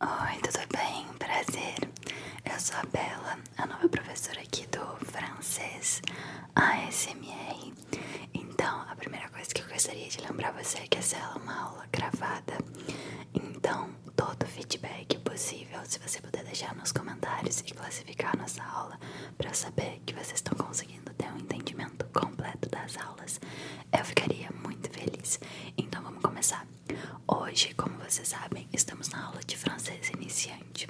Oi, tudo bem? Prazer. Eu sou a Bela, a nova professora aqui do francês ASMR. Então, a primeira coisa que eu gostaria de lembrar você é que essa é uma aula gravada. Então, todo feedback possível, se você puder deixar nos comentários e classificar nossa aula para saber que vocês estão conseguindo ter um entendimento completo das aulas, eu ficaria muito feliz. Então, vamos começar. Hoje, como vocês sabem, estamos na aula de francês iniciante.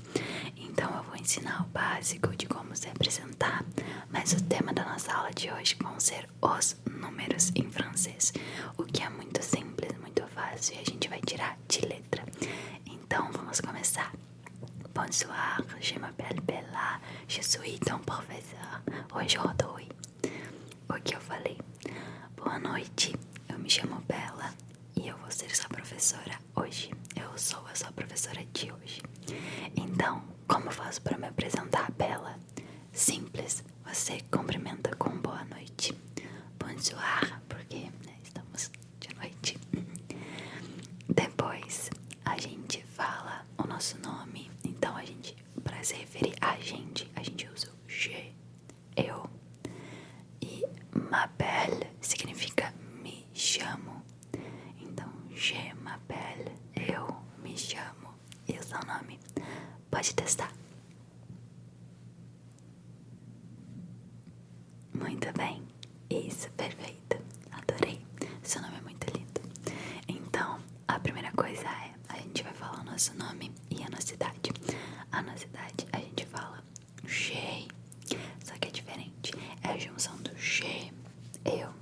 Então eu vou ensinar o básico de como se apresentar, mas o tema da nossa aula de hoje vão ser os números em francês, o que é muito simples, muito fácil e a gente vai tirar de letra. Então vamos começar. Bonsoir, je m'appelle Bella, je suis ton professeur. Aujourd'hui, o que eu falei. Boa noite, eu me chamo Bela e eu vou ser sua professora hoje. Eu sou a sua professora de hoje. Então, como eu faço para me apresentar, Bela? Simples, você cumprimenta com boa noite. Bonsoir, porque né, estamos de noite. Depois a gente fala o nosso nome, então a gente para se referir a gente, a gente usa o je, eu. E Mabel significa me chamo. Então, G Mabel eu me chamo. é o nome? Pode testar. Muito bem. Isso, perfeito. Adorei. Seu nome é muito lindo. Então, a primeira coisa é a gente vai falar o nosso nome e a nossa idade. A nossa idade a gente fala G, só que é diferente. É a junção do G, eu,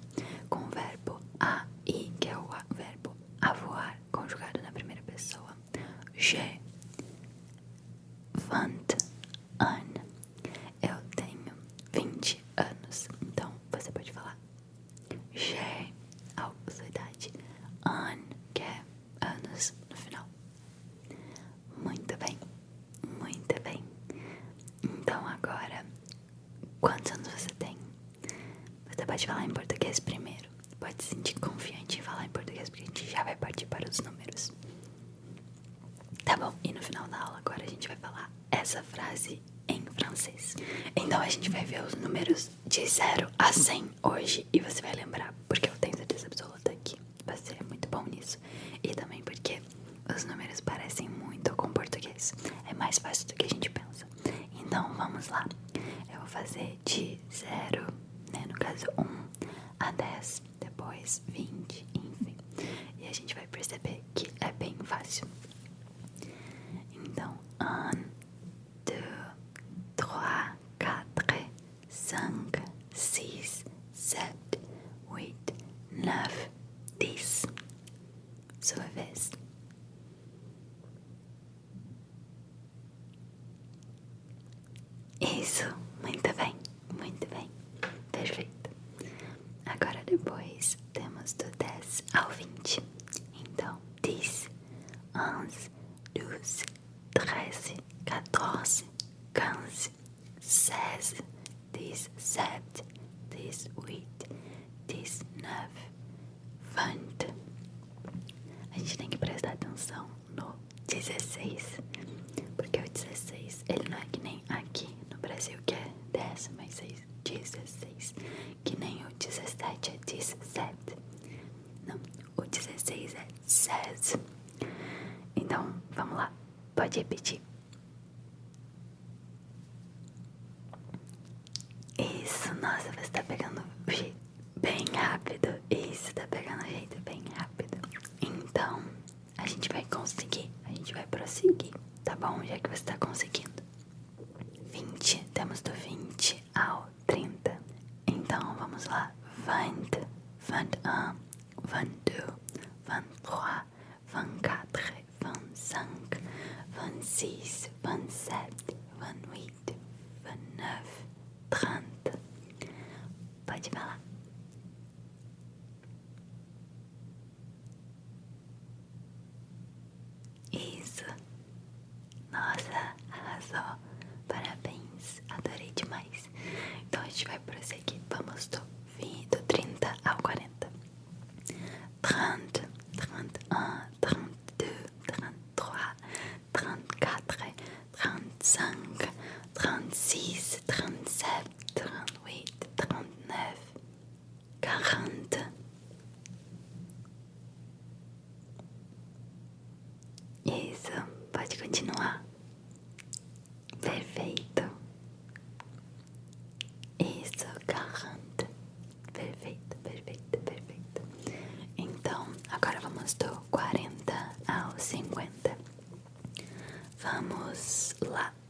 com o verbo a i, que é o verbo avoar, conjugado na primeira pessoa. G, vant, an. Eu tenho 20 anos, então você pode falar G, algo sua idade. An, que é anos no final. Muito bem, muito bem. Então agora, quantos anos você tem? Você pode falar em português primeiro. Pode se sentir confiante em falar em português, porque a gente já vai partir para os números. Tá bom, e no final da aula agora a gente vai falar essa frase em francês. Então a gente vai ver os números de 0 a 100 hoje e você vai lembrar, porque eu tenho certeza absoluta que você é muito bom nisso. E também porque os números parecem muito com português. É mais fácil do que a gente pensa. Então vamos lá. Eu vou fazer de 0, né, no caso um, a 10, depois 20, enfim. E a gente vai perceber que é bem fácil. Então, um, dois, três, quatro, cinco, seis, sete, oito, nove, dez. Sua vez. Isso, muito bem, muito bem, perfeito. Agora depois temos do 10 ao 20. Então, 10, 11, 12, 13, 14, 15, 16, 17, 18, 19, 20. A gente tem que prestar atenção no 16, porque o 16 ele não é que nem aqui no Brasil que é 10 mais 6 16, que nem o 17 é 17. Não, o 16 é 16. Então, vamos lá. Pode repetir. Isso, nossa, você tá pegando o jeito bem rápido. Isso, tá pegando o jeito bem rápido. Então, a gente vai conseguir, a gente vai prosseguir, tá bom? Já que você tá conseguindo vinte temos do vinte ao trinta Então vamos lá. vinte vinte vinte vinte vinte vinte vinte um e e e e três quatro cinco seis vinte e sete vinte e oito vinte e nove trinta Pode falar. Isso. Nossa, arrasou. Parabéns, adorei demais. Então a gente vai prosseguir. Vamos do, 20, do 30 ao 40. 30, 31, 32, 33, 34, 35, 36, 37, 38, 39. 40, 41, 42, 43, 44, 45, 46, 47, 48, quarante, isso, pode continuar, perfeito, isso, quarante, perfeito, perfeito, perfeito, então agora vamos do quarenta ao cinquenta, vamos lá.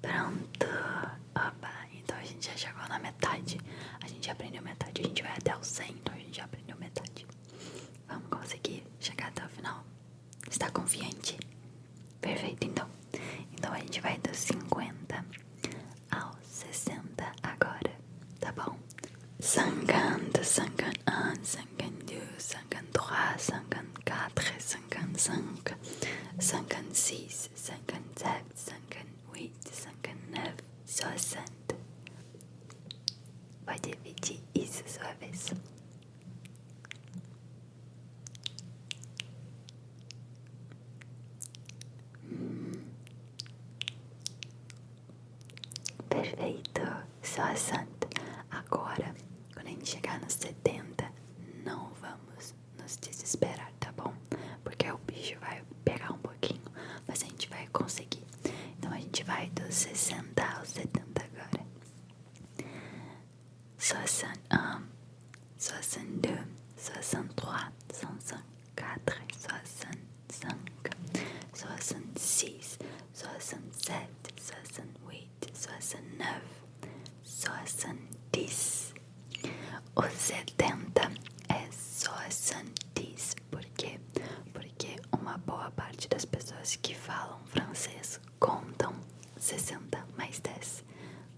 Pronto. Opa. Então a gente já chegou na metade. A gente aprendeu metade. A gente vai até o 100, então a gente já aprendeu metade. Vamos conseguir chegar até o final. Está confiante? Perfeito, então. Então a gente vai dos 50 ao 60 agora, tá bom? Cinquante, cinquante um, cinquante dois, cinquante três, cinquante quatro, cinquante cinco. Sanka, Sankan seas, Sankan zap, Sankan wheat, Sankan nav, só santa. Pode repetir isso sua vez. Perfeito, só a santa. Agora, quando a gente chegar nos 70, não vamos nos, nos desesperar, tá bom? Porque o bicho vai pegar um pouquinho, mas a gente vai conseguir. Então a gente vai dos 60 aos 70 agora. 61, 62, 63, 64, 65, 66, 67, 68, 69. 70, 71, 72, 73, 74, 75, 76, 77, 78, 79, 80, 81, 82, 83, 84, 85, soixante-dix. O setenta é soixante-dix. Por quê? Porque uma boa parte das pessoas que falam francês contam 60 mais 10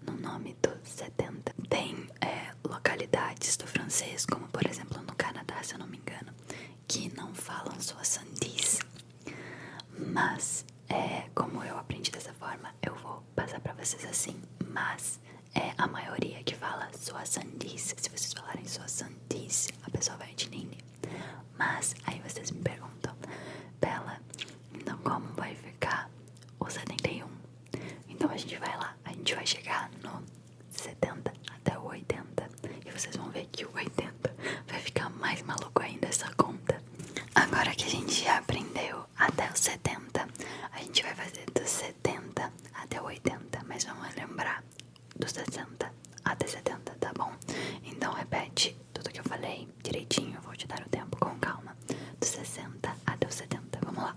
no nome do 70. Tem é, localidades do francês, como por exemplo no Canadá, se eu não me engano, que não falam soixante-dix. Mas, é, como eu aprendi dessa forma, eu vou passar pra vocês assim. Mas é a maioria que fala sua sandice. Se vocês falarem sua sandice, a pessoa vai entender. Mas aí vocês me perguntam, Bela, então como vai ficar o 71? Então a gente vai lá, a gente vai chegar no 70 até o 80. E vocês vão ver que o 80 vai ficar mais maluco ainda essa conta. Agora que a gente já aprendeu até os 70, a gente vai fazer dos 70 até 80, mas vamos lembrar dos 60 até 70, tá bom? Então repete tudo que eu falei direitinho, vou te dar o tempo com calma. Dos 60 até os 70, vamos lá.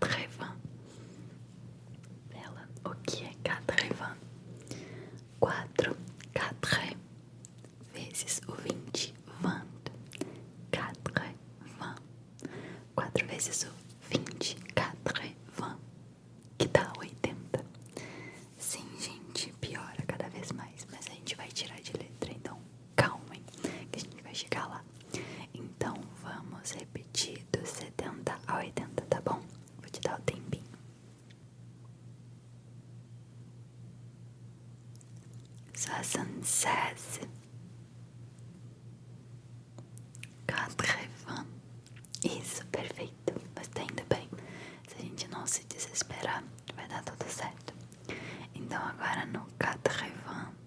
80. Bela, o que é 80? quatro 4 vezes o vinte 20. quatro 20. quatro vezes o vinte 4, 20. Que dá oitenta, Sim, gente, piora cada vez mais, mas a gente vai tirar de letra, então calmem, que a gente vai chegar lá. Então vamos repetir do dos 70 a 80, tá bom? Vou te dar o tempinho. Soixante-seize, quatre-vingts. Isso, perfeito. Mas tá indo bem. Se a gente não se desesperar, vai dar tudo certo. Então agora no quatre-vingts.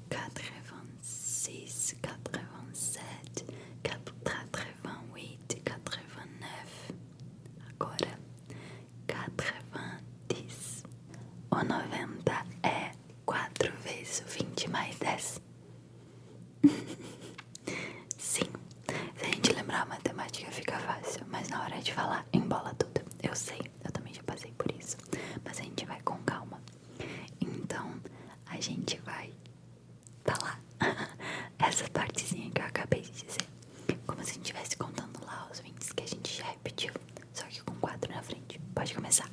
86, 87, 88, 89. Agora, 90. O 90 é 4 vezes 20 mais 10. Sim, se a gente lembrar matemática fica fácil, mas na hora de falar embola tudo. Eu sei, eu também já passei por isso, mas a gente vai com calma. Então a gente vai. falar tá Essa partezinha que eu acabei de dizer. Como se a gente estivesse contando lá os 20 que a gente já repetiu. Só que com 4 na frente. Pode começar.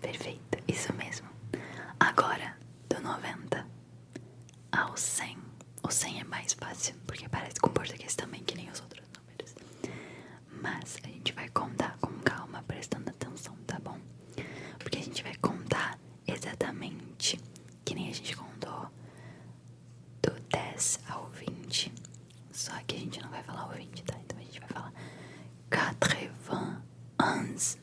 Perfeito, isso mesmo. Agora, do 90 ao 100. O 100 é mais fácil, porque parece com português também, que nem os outros números. Mas a gente vai contar com calma, prestando atenção, tá bom? Porque a gente vai contar exatamente que nem a gente contou do 10 ao 20. Só que a gente não vai falar o 20, tá? Então a gente vai falar 91.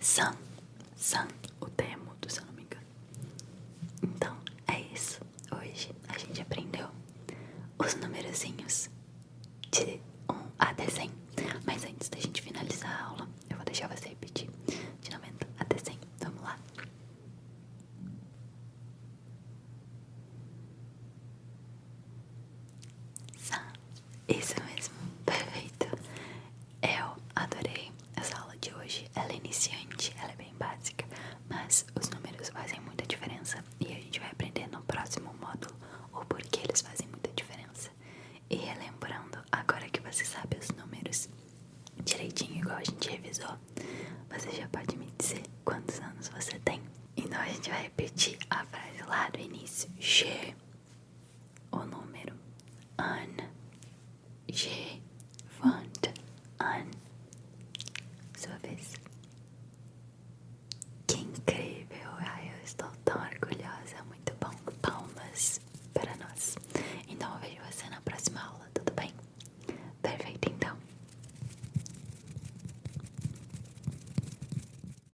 são são o Temudo, se eu não me engano. Então, é isso. Hoje a gente aprendeu os numerozinhos de 1 a 100. Mas antes da gente finalizar a aula, eu vou deixar você repetir de 90 a 100. Vamos lá. Isso mesmo, perfeito. Eu adorei essa aula de hoje. Ela é iniciante, ela é bem básica, mas os números fazem muita diferença e a gente vai aprender no próximo módulo o porquê eles fazem muita diferença. E relembrando, agora que você sabe os números direitinho, igual a gente revisou, você já pode me dizer quantos anos você tem. Então a gente vai repetir a frase lá do início. Che o número an gigante an sua vez que incrível eu estou tão orgulhosa muito bom palmas para nós então eu vejo você na próxima aula tudo bem perfeito então